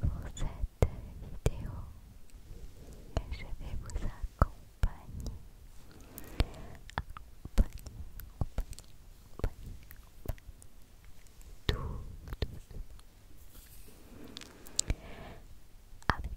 pour cette vidéo. Je vais vous accompagner. avec,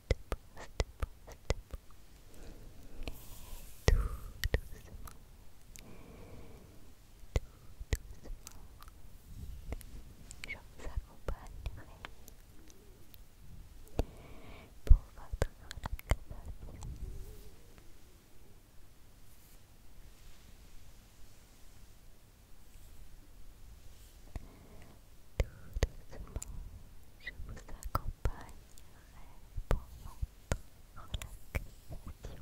Tout doucement. Tout doucement. Je vous accompagnerai pour votre relaxation doucement, je vous accompagnerai pour votre relaxation.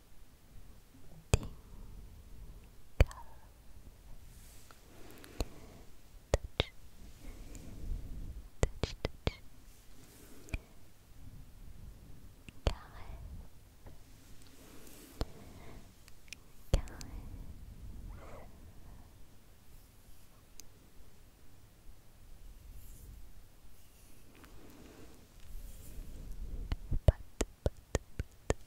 touch, touch, touch. Guys. Guys. But, but, but,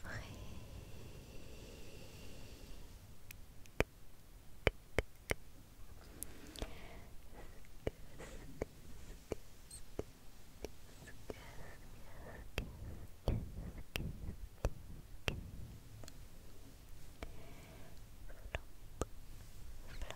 Flop,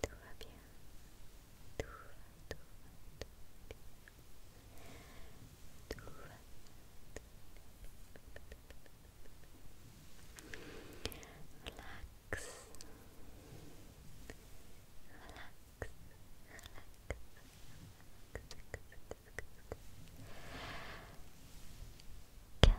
Tout va bien. Tout va, tout va, tout va bien. Tout va, tout va bien. Relax. Relax. Relax. Calme. Calme.